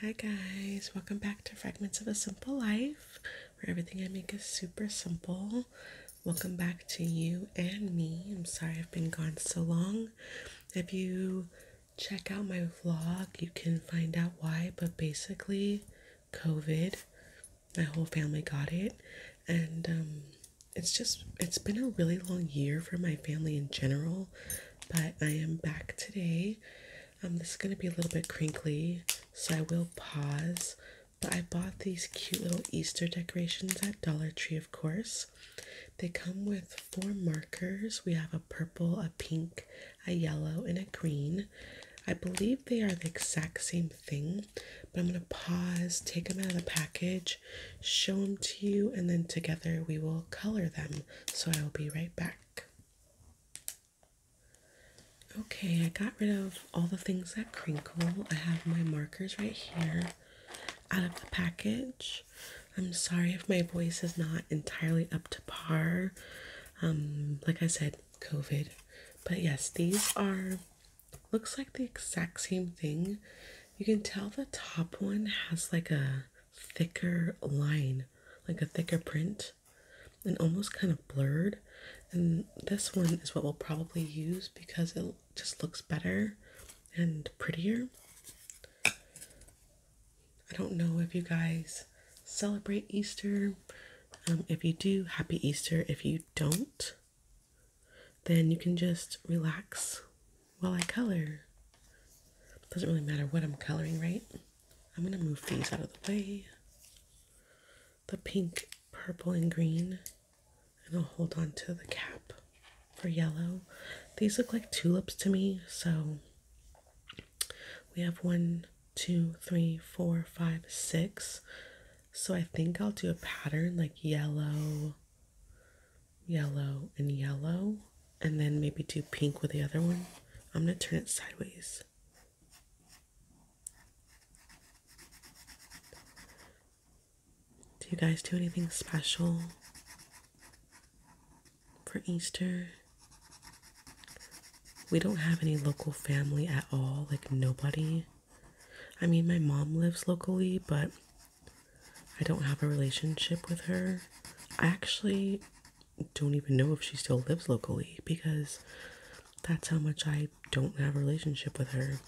Hi, guys, welcome back to Fragments of a Simple Life, where everything I make is super simple. Welcome back to you and me. I'm sorry I've been gone so long. If you check out my vlog, you can find out why, but basically, COVID, my whole family got it, and um, it's just it's been a really long year for my family in general, but I am back today. Um, this is gonna be a little bit crinkly, so I will pause. But I bought these cute little Easter decorations at Dollar Tree, of course. They come with four markers. We have a purple, a pink, a yellow, and a green. I believe they are the exact same thing, but I'm going to pause, take them out of the package, show them to you, and then together we will color them. So I will be right back. Okay, I got rid of all the things that crinkle. I have my markers right here out of the package. I'm sorry if my voice is not entirely up to par. Um, like I said, COVID. But yes, these are looks like the exact same thing. You can tell the top one has like a thicker line, like a thicker print, and almost kind of blurred. And this one is what we'll probably use because it just looks better and prettier. I don't know if you guys celebrate Easter. Um, if you do, happy Easter. If you don't, then you can just relax while I color. Doesn't really matter what I'm coloring, right? I'm gonna move these out of the way. The pink, purple, and green, and I'll hold on to the cap for yellow. These look like tulips to me, so we have one, two, three, four, five, six. So I think I'll do a pattern like yellow, yellow, and yellow, and then maybe do pink with the other one. I'm going to turn it sideways. Do you guys do anything special for Easter? We don't have any local family at all, like nobody. I mean, my mom lives locally, but I don't have a relationship with her. I actually don't even know if she still lives locally because that's how much I don't have a relationship with her.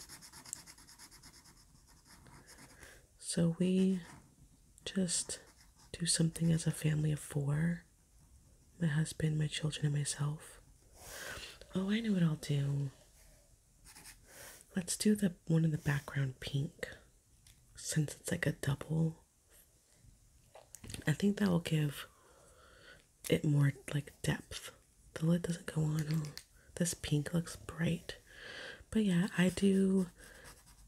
So we just do something as a family of four my husband, my children, and myself. Oh, I know what I'll do. Let's do the one in the background pink since it's like a double. I think that will give it more like depth. The lid doesn't go on. Oh, this pink looks bright. But yeah, I do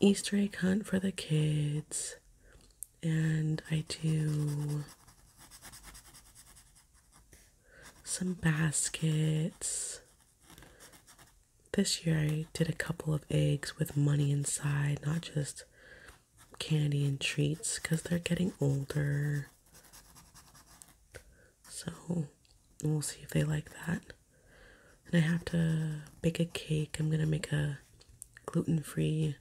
Easter egg hunt for the kids and I do some baskets this year I did a couple of eggs with money inside, not just candy and treats, because they're getting older. So we'll see if they like that. And I have to bake a cake. I'm gonna make a gluten free,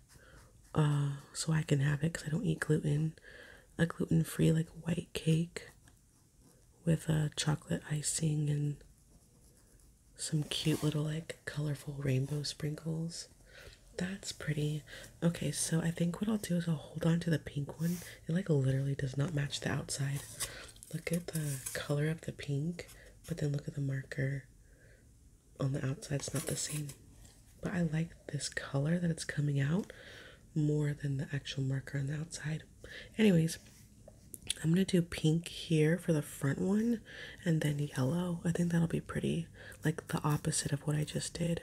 uh, so I can have it because I don't eat gluten. A gluten free, like white cake with a chocolate icing and some cute little like colorful rainbow sprinkles. That's pretty. Okay, so I think what I'll do is I'll hold on to the pink one. It like literally does not match the outside. Look at the color of the pink, but then look at the marker on the outside. It's not the same. But I like this color that it's coming out more than the actual marker on the outside. Anyways, I'm gonna do pink here for the front one and then yellow. I think that'll be pretty, like the opposite of what I just did.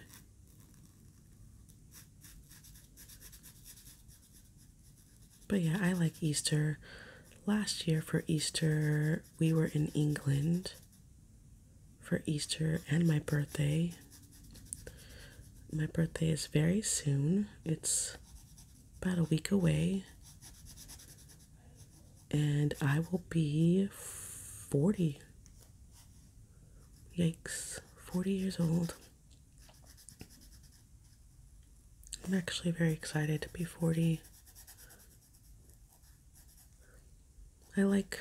But yeah, I like Easter. Last year for Easter, we were in England for Easter and my birthday. My birthday is very soon. It's about a week away. And I will be 40. Yikes, 40 years old. I'm actually very excited to be 40. I like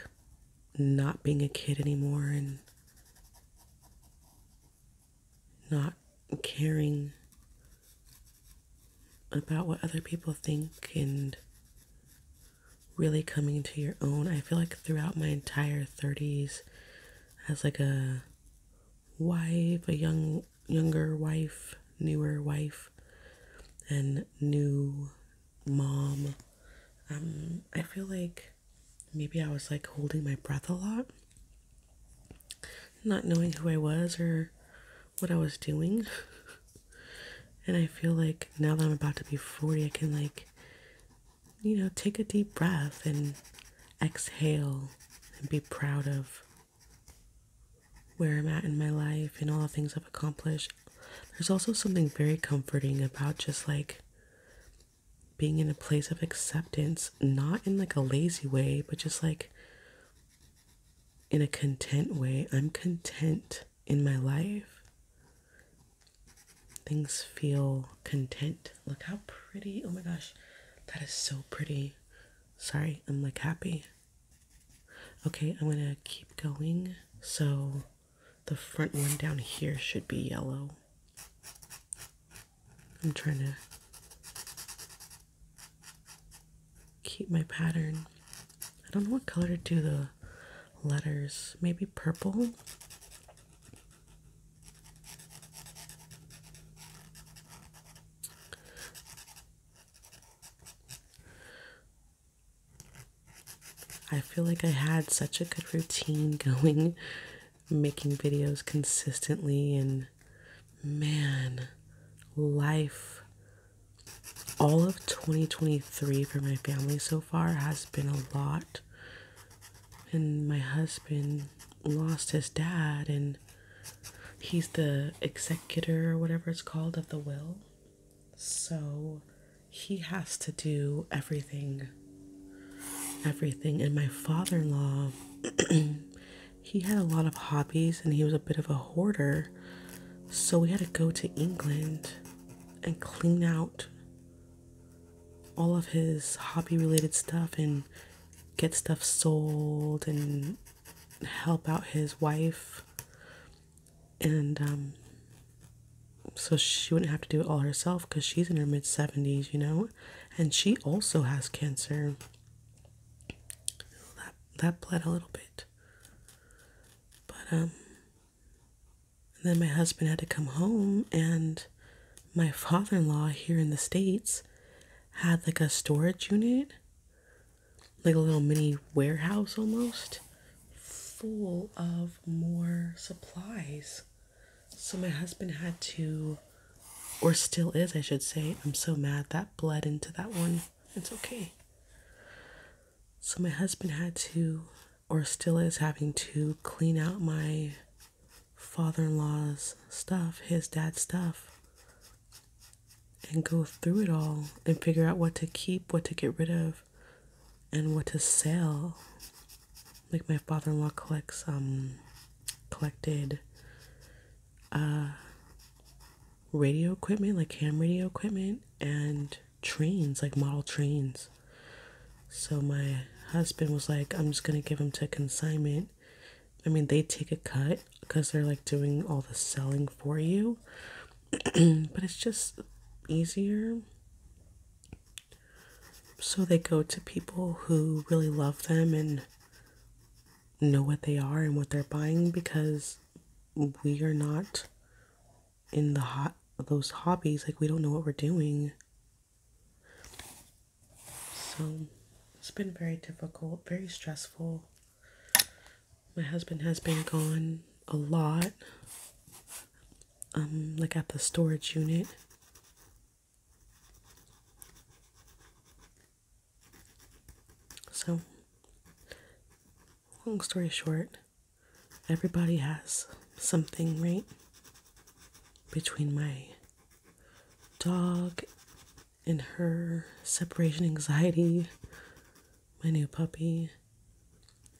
not being a kid anymore and not caring about what other people think and really coming to your own. I feel like throughout my entire 30s as like a wife, a young younger wife, newer wife and new mom, um I feel like maybe I was like holding my breath a lot, not knowing who I was or what I was doing. and I feel like now that I'm about to be 40, I can like, you know, take a deep breath and exhale and be proud of where I'm at in my life and all the things I've accomplished. There's also something very comforting about just like being in a place of acceptance, not in like a lazy way, but just like in a content way. I'm content in my life. Things feel content. Look how pretty. Oh my gosh, that is so pretty. Sorry, I'm like happy. Okay, I'm gonna keep going. So the front one down here should be yellow. I'm trying to keep my pattern. I don't know what color to do the letters. Maybe purple. I feel like I had such a good routine going making videos consistently and man life all of 2023 for my family so far has been a lot and my husband lost his dad and he's the executor or whatever it's called of the will so he has to do everything everything. And my father in law, he had a lot of hobbies and he was a bit of a hoarder. So we had to go to England and clean out all of his hobby related stuff and get stuff sold and help out his wife. And um, so she wouldn't have to do it all herself because she's in her mid 70s, you know? and she also has cancer. That that bled a little bit, but um. then my husband had to come home, and my father-in-law here in the states had like a storage unit, like a little mini warehouse almost, full of more supplies. So my husband had to, or still is, I should say. I'm so mad that bled into that one. It's okay. So my husband had to, or still is having to, clean out my father in law's stuff, his dad's stuff. And go through it all and figure out what to keep, what to get rid of, and what to sell like my father-in-law collects um collected uh radio equipment like ham radio equipment and trains like model trains so my husband was like i'm just gonna give him to consignment i mean they take a cut because they're like doing all the selling for you but it's just easier so they go to people who really love them and know what they are and what they're buying because we are not in the hot those hobbies like we don't know what we're doing. So it's been very difficult, very stressful. My husband has been gone a lot. Um like at the storage unit so, long story short, everybody has something, right? Between my dog and her separation anxiety, my new puppy,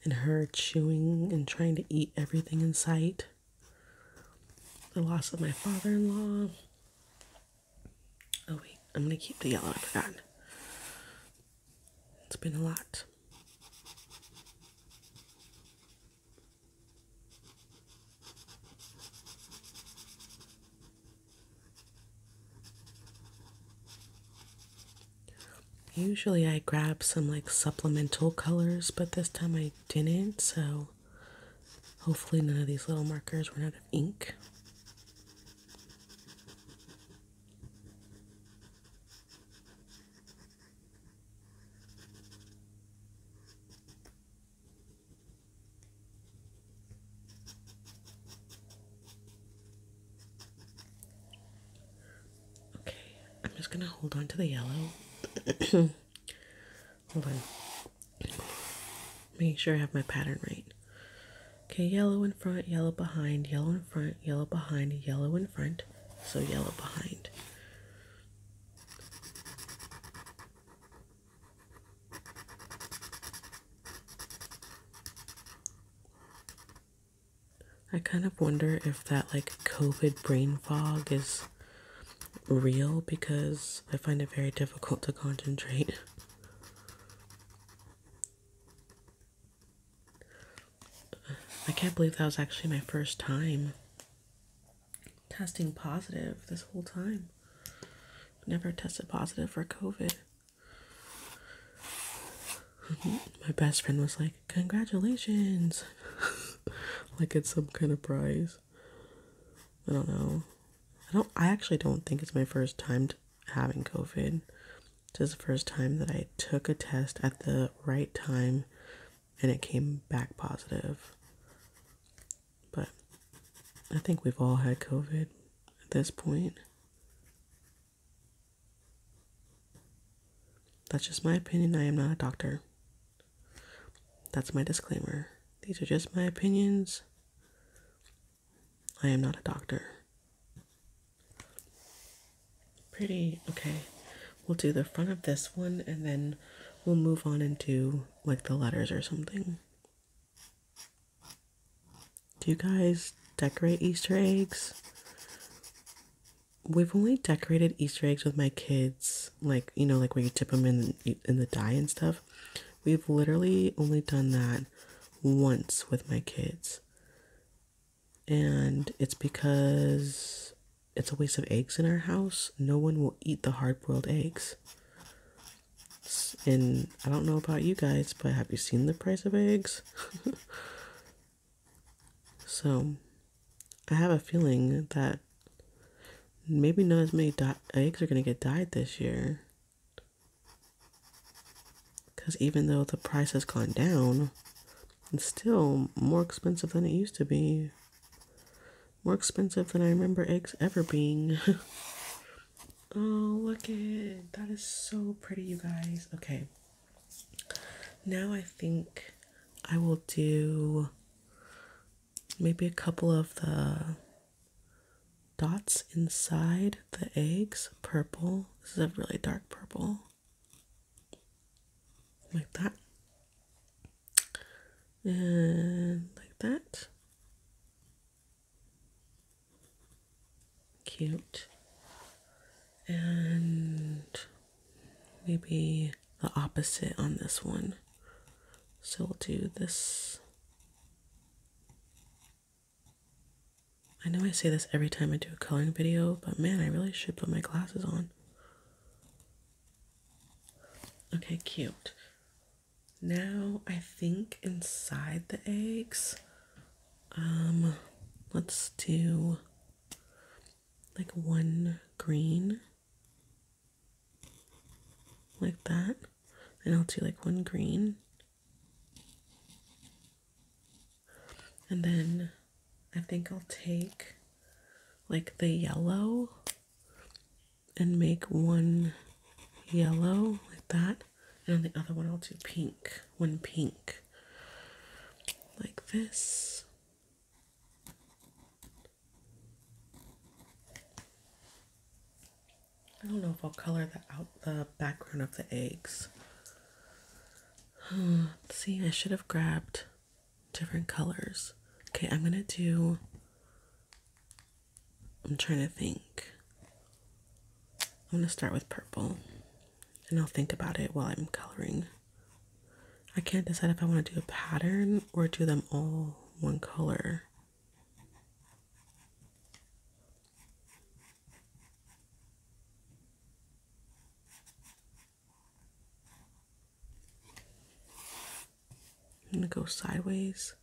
and her chewing and trying to eat everything in sight, the loss of my father in law. Oh, wait, I'm gonna keep the yellow. I forgot. It's been a lot. Usually I grab some like supplemental colors, but this time I didn't, so Hopefully, none of these little markers run out of ink. Okay, I'm just going to hold on to the yellow. Hold on. Making sure I have my pattern right. Okay, yellow in front, yellow behind, yellow in front, yellow behind, yellow in front, so yellow behind. I kind of wonder if that like COVID brain fog is real because I find it very difficult to concentrate. I can't believe that was actually my first time testing positive this whole time. Never tested positive for COVID. my best friend was like, Congratulations! like it's some kind of prize. I don't know. I don't I actually don't think it's my first time having COVID. This is the first time that I took a test at the right time and it came back positive. But I think we've all had COVID at this point. That's just my opinion. I am not a doctor. That's my disclaimer. These are just my opinions. I am not a doctor. Pretty okay. We'll do the front of this one and then we'll move on into like the letters or something. Do you guys decorate Easter eggs? We've only decorated Easter eggs with my kids, like you know, like where you dip them in in the dye and stuff. We've literally only done that once with my kids. And it's because it's a waste of eggs in our house. No one will eat the hard boiled eggs. And I don't know about you guys, but have you seen the price of eggs? so I have a feeling that Maybe not as many eggs are going to get dyed this year. Because even though the price has gone down, it's still more expensive than it used to be. More expensive than I remember eggs ever being. oh, look at That is so pretty, you guys. Okay. Now I think I will do maybe a couple of the dots inside the eggs purple. This is a really dark purple. Like that. And like that. Cute. And maybe the opposite on this one. So we'll do this. I know I say this every time I do a coloring video, but man, I really should put my glasses on. Okay, cute. Now I think inside the eggs, um, let's do like one green like that and I'll do like one green and then I think I'll take like the yellow and make one yellow like that and on the other one I'll do pink one pink like this I don't know if I'll color the out the background of the eggs. Hmm, see, I should have grabbed different colors. Okay, I'm gonna do. I'm trying to think. I'm gonna start with purple, and I'll think about it while I'm coloring. I can't decide if I want to do a pattern or do them all one color. I'm going to go sideways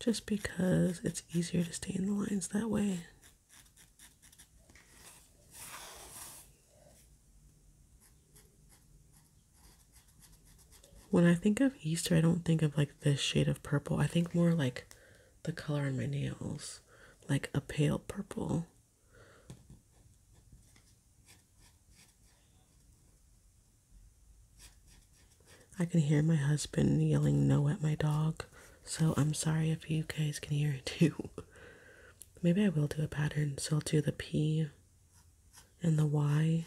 just because it's easier to stay in the lines that way. When I think of Easter, I don't think of like this shade of purple. I think more like the color on my nails, like a pale purple. I can hear my husband yelling no at my dog, so I'm sorry if you guys can hear it too. Maybe I will do a pattern, so I'll do the P and the Y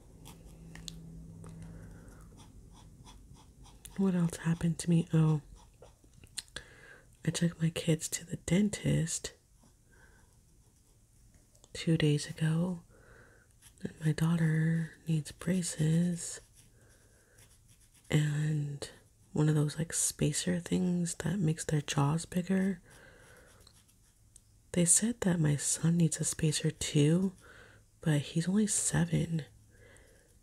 What else happened to me? Oh, I took my kids to the dentist two days ago, my daughter needs braces and one of those like spacer things that makes their jaws bigger. They said that my son needs a spacer too, but he's only seven.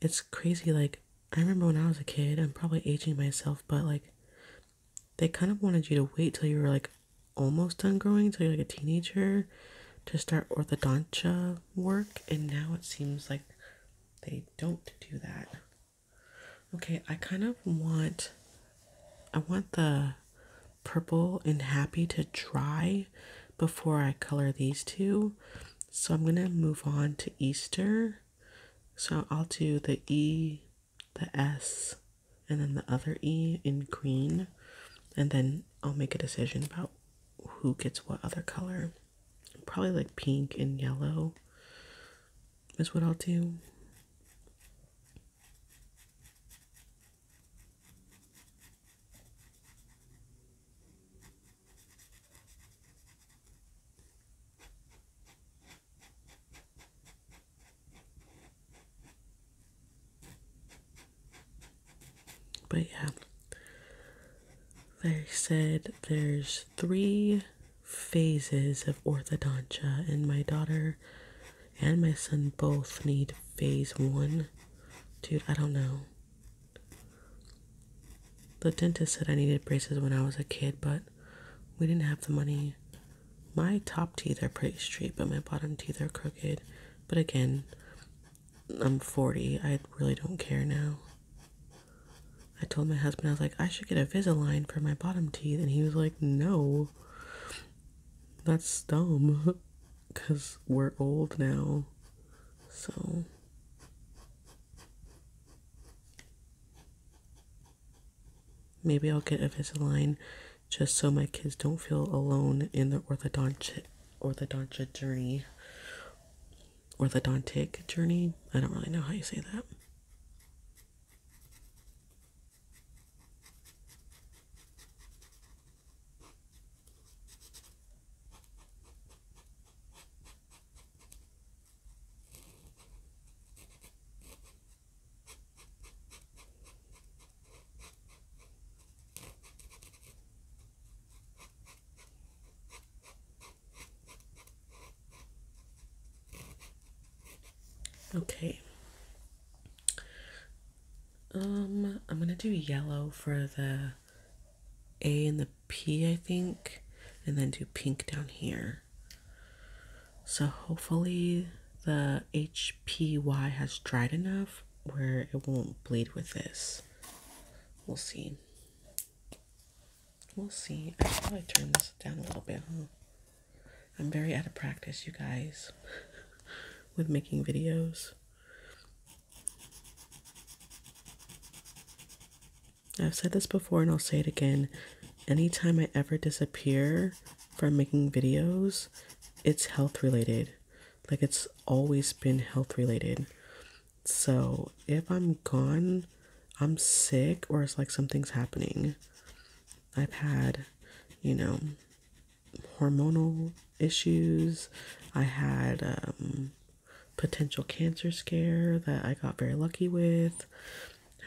It's crazy. Like, I remember when I was a kid, I'm probably aging myself, but like, they kind of wanted you to wait till you were like almost done growing, till you're like a teenager to start orthodontia work, and now it seems like they don't do that. Okay, I kind of want I want the purple and happy to dry before I color these two. So I'm going to move on to Easter. So I'll do the E, the S, and then the other E in green. And then I'll make a decision about who gets what other color. Probably like pink and yellow is what I'll do. But yeah, like I said, there's three phases of orthodontia, and my daughter and my son both need phase one. Dude, I don't know. The dentist said I needed braces when I was a kid, but we didn't have the money. My top teeth are pretty straight, but my bottom teeth are crooked. But again, I'm 40. I really don't care now. I told my husband, I was like, I should get a Visaline for my bottom teeth. And he was like, no, that's dumb. because we're old now. So. Maybe I'll get a Invisalign just so my kids don't feel alone in their orthodontic orthodontic journey. Orthodontic journey. I don't really know how you say that. Okay. Um, I'm gonna do yellow for the a and the P, I think, and then do pink down here. So hopefully the HPY has dried enough where it won't bleed with this. We'll see. We'll see. I probably turn this down a little bit, I'm very out of practice, you guys, with making videos. I've said this before and I'll say it again. Anytime I ever disappear from making videos, it's health related. Like it's always been health related. So if I'm gone, I'm sick or it's like something's happening. I've had, you know, hormonal issues. I had um, potential cancer scare that I got very lucky with.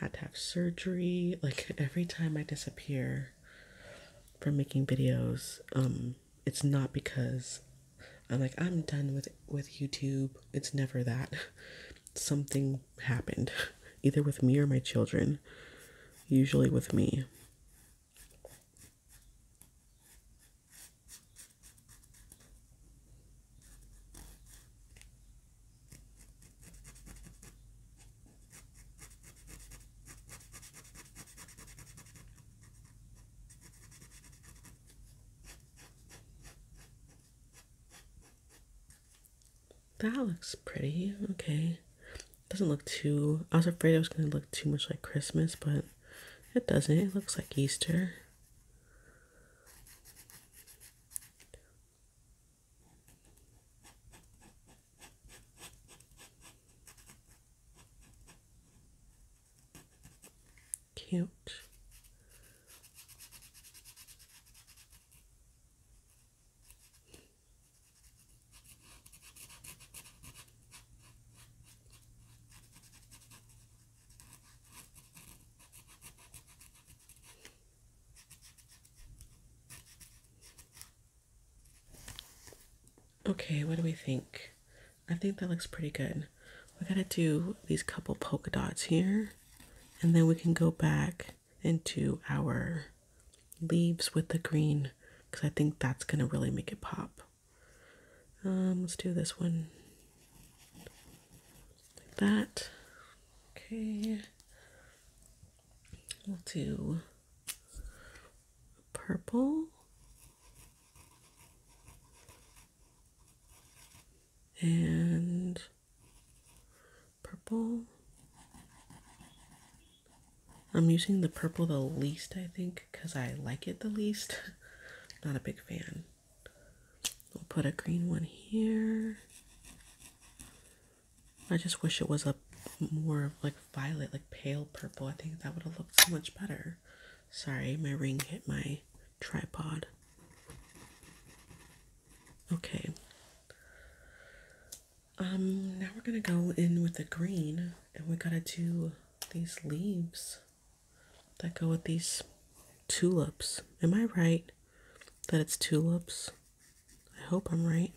Had to have surgery. Like every time I disappear from making videos, um, it's not because I'm like I'm done with with YouTube. It's never that. Something happened, either with me or my children. Usually with me. That looks pretty. Okay. Doesn't look too. I was afraid it was going to look too much like Christmas, but it doesn't. It looks like Easter. Cute. Okay, what do we think? I think that looks pretty good. We gotta do these couple polka dots here, and then we can go back into our leaves with the green because I think that's gonna really make it pop. Um, let's do this one like that. Okay, we'll do purple and purple. I'm using the purple the least, I think, because I like it the least. Not a big fan. We'll put a green one here. I just wish it was a more like violet, like pale purple. I think that would have looked so much better. Sorry, my ring hit my tripod. Okay. Um, now we're gonna go in with the green and we gotta do these leaves that go with these tulips. Am I right that it's tulips? I hope I'm right.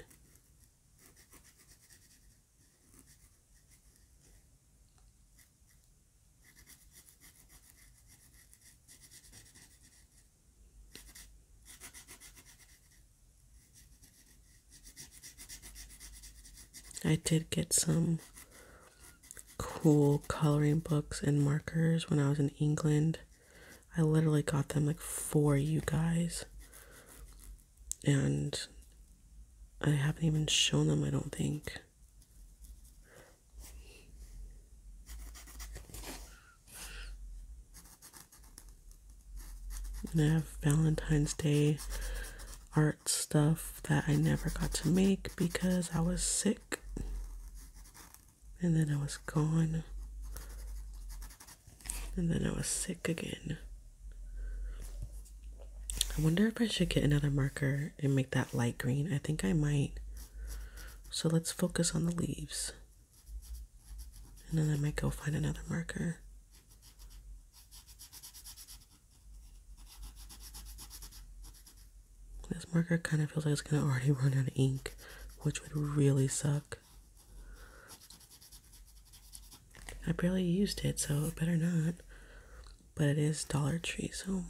I did get some cool coloring books and markers when I was in England. I literally got them like for you guys. And I haven't even shown them, I don't think. And I have Valentine's Day art stuff that I never got to make because I was sick and then I was gone and then I was sick again. I wonder if I should get another marker and make that light green. I think I might. So let's focus on the leaves. And then I might go find another marker. This marker kind of feels like it's going to already run out of ink, which would really suck. I barely used it, so better not. But it is Dollar Tree, so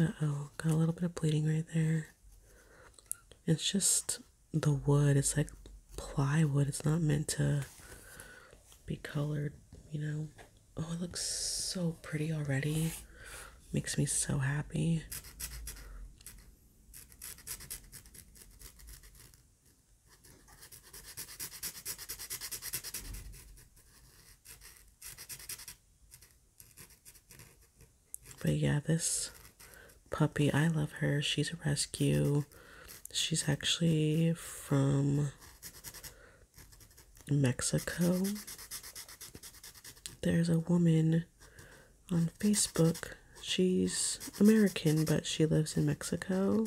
uh oh, got a little bit of bleeding right there. It's just the wood, it's like plywood, it's not meant to be colored, you know. Oh, it looks so pretty already. Makes me so happy. But yeah, this puppy, I love her. She's a rescue. She's actually from Mexico. There's a woman on Facebook. She's American, but she lives in Mexico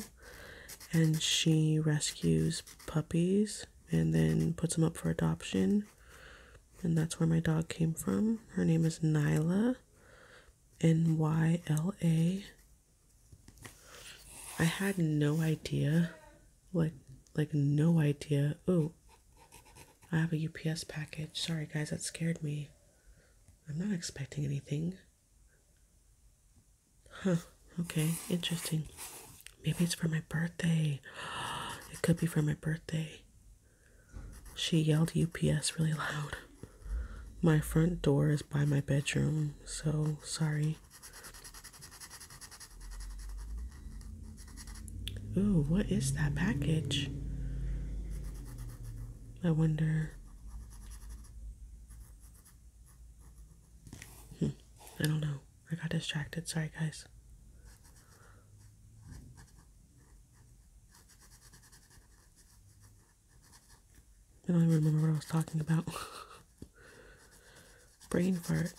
and she rescues puppies and then puts them up for adoption. And that's where my dog came from. Her name is Nyla. N Y L A. I had no idea. Like like no idea. Oh. I have a UPS package. Sorry, guys, that scared me. I'm not expecting anything. Huh, okay, interesting. Maybe it's for my birthday. It could be for my birthday. She yelled UPS really loud. My front door is by my bedroom, so sorry. Ooh, what is that package? I wonder. Hmm, I don't know. I got distracted. Sorry, guys. I don't even remember what I was talking about. Brain fart.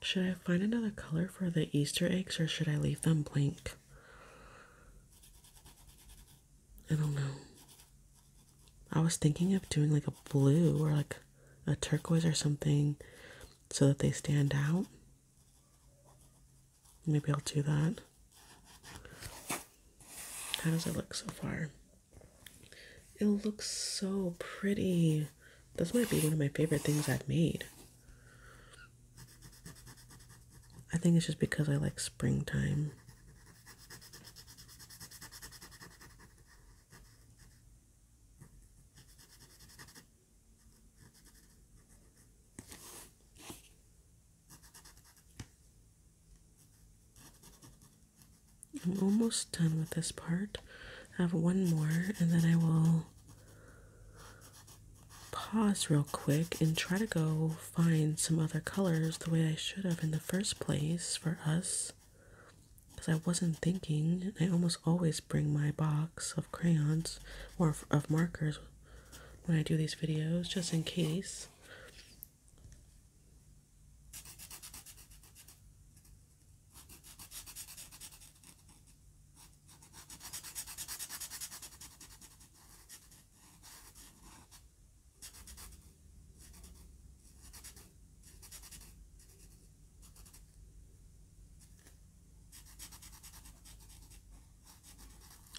Should I find another color for the Easter eggs or should I leave them blank? I don't know. I was thinking of doing like a blue or like a turquoise or something so that they stand out. Maybe I'll do that. How does it look so far? It looks so pretty. This might be one of my favorite things I've made. I think it's just because I like springtime. I'm almost done with this part. I have one more and then I will pause real quick and try to go find some other colors the way I should have in the first place for us because I wasn't thinking. I almost always bring my box of crayons or of markers when I do these videos just in case.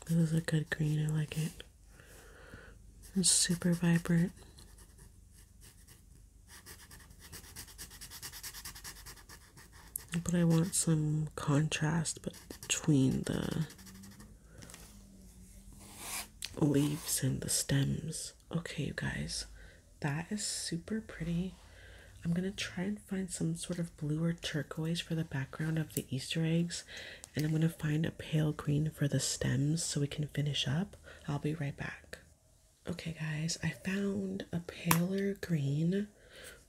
This is a good green, I like it. It's super vibrant. But I want some contrast between the leaves and the stems. Okay, you guys, that is super pretty. I'm going to try and find some sort of blue or turquoise for the background of the Easter eggs. And I'm going to find a pale green for the stems so we can finish up. I'll be right back. Okay, guys, I found a paler green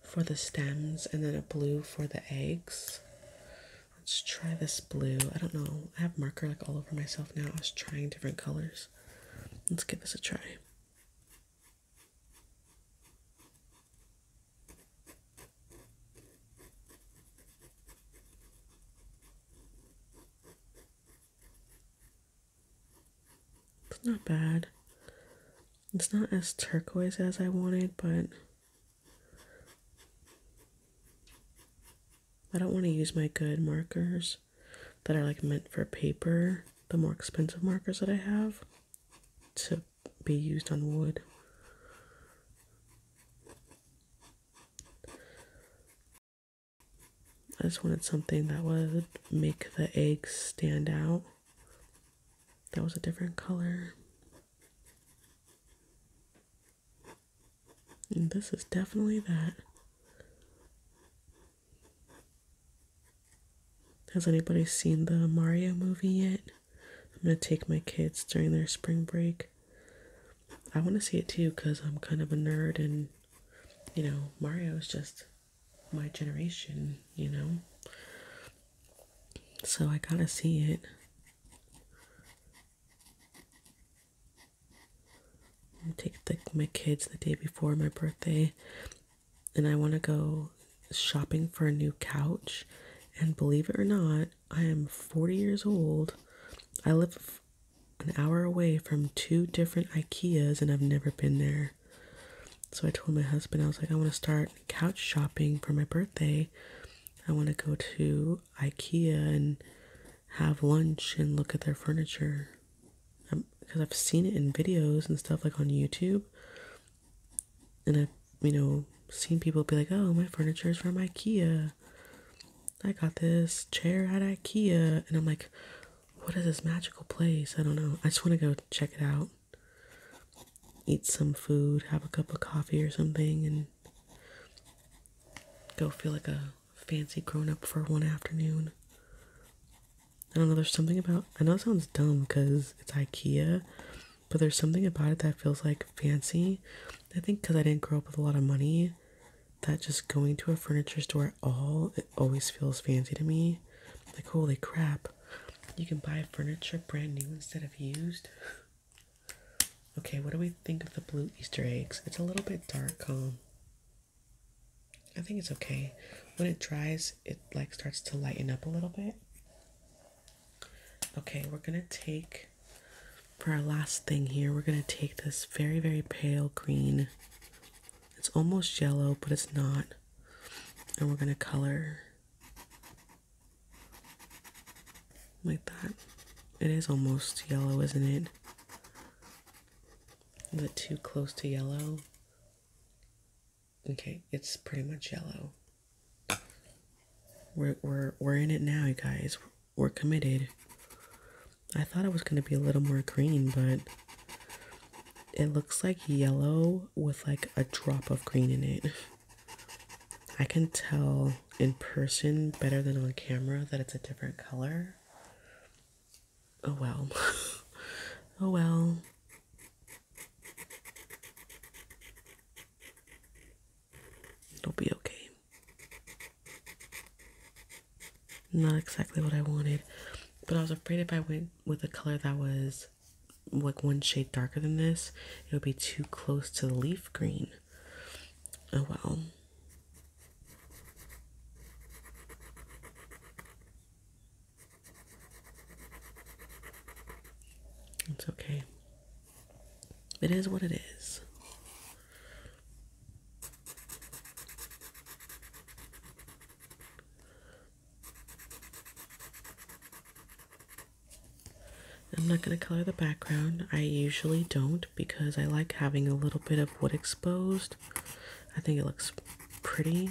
for the stems and then a blue for the eggs. Let's try this blue. I don't know. I have marker like all over myself now. I was trying different colors. Let's give this a try. It's not bad. It's not as turquoise as I wanted, but I don't want to use my good markers that are like meant for paper, the more expensive markers that I have, to be used on wood. I just wanted something that would make the eggs stand out. That was a different color. And this is definitely that. Has anybody seen the Mario movie yet? I'm gonna take my kids during their spring break. I want to see it too because I'm kind of a nerd and you know, Mario is just my generation, you know. So I gotta see it. take the, my kids the day before my birthday, and I want to go shopping for a new couch. And believe it or not, I am 40 years old. I live an hour away from two different IKEAs, and I've never been there. So I told my husband, I was like, I want to start couch shopping for my birthday. I want to go to IKEA and have lunch and look at their furniture. Because um, I've seen it in videos and stuff like on YouTube. And I've, you know, seen people be like, oh, my furniture is from IKEA. I got this chair at IKEA. And I'm like, what is this magical place? I don't know. I just want to go check it out eat some food, have a cup of coffee or something, and go feel like a fancy grown up for one afternoon. I don't know, there's something about I know it sounds dumb because it's IKEA, but there's something about it that feels like fancy. I think because I didn't grow up with a lot of money, that just going to a furniture store at all, it always feels fancy to me. Like, holy crap, you can buy furniture brand new instead of used. Okay, what do we think of the blue Easter eggs? It's a little bit dark. Um, I think it's okay. When it dries, it like starts to lighten up a little bit. Okay, we're gonna take for our last thing here. We're gonna take this very very pale green. It's almost yellow, but it's not and we're going to color like that. It is almost yellow, isn't it? Is it too close to yellow? Okay, it's pretty much yellow. We're we're we're in it now, you guys. We're committed. I thought it was gonna be a little more green, but it looks like yellow with like a drop of green in it. I can tell in person better than on camera that it's a different color. Oh well. oh well. It'll be okay. Not exactly what I wanted, but I was afraid if I went with a color that was like one shade darker than this, it would be too close to the leaf green. Oh well. It's okay. It is what it is. I'm not going to color the background. I usually don't because I like having a little bit of wood exposed. I think it looks pretty.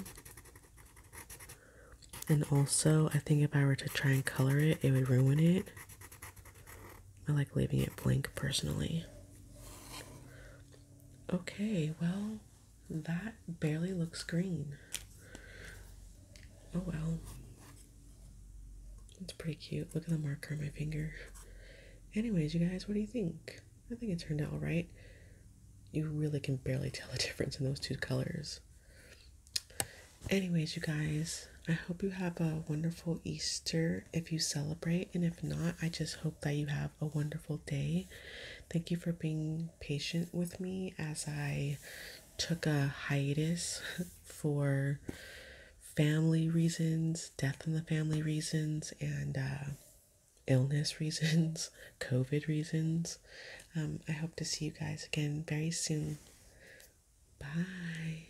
And also, I think if I were to try and color it, it would ruin it. I like leaving it blank personally. Okay, well, that barely looks green. Oh well. It's pretty cute. Look at the marker on my finger. Anyways, you guys, what do you think? I think it turned out alright. You really can barely tell the difference in those two colors. Anyways, you guys, I hope you have a wonderful Easter if you celebrate. And if not, I just hope that you have a wonderful day Thank you for being patient with me as I took a hiatus for family reasons, death in the family reasons, and uh, illness reasons, COVID reasons. Um, I hope to see you guys again very soon. Bye.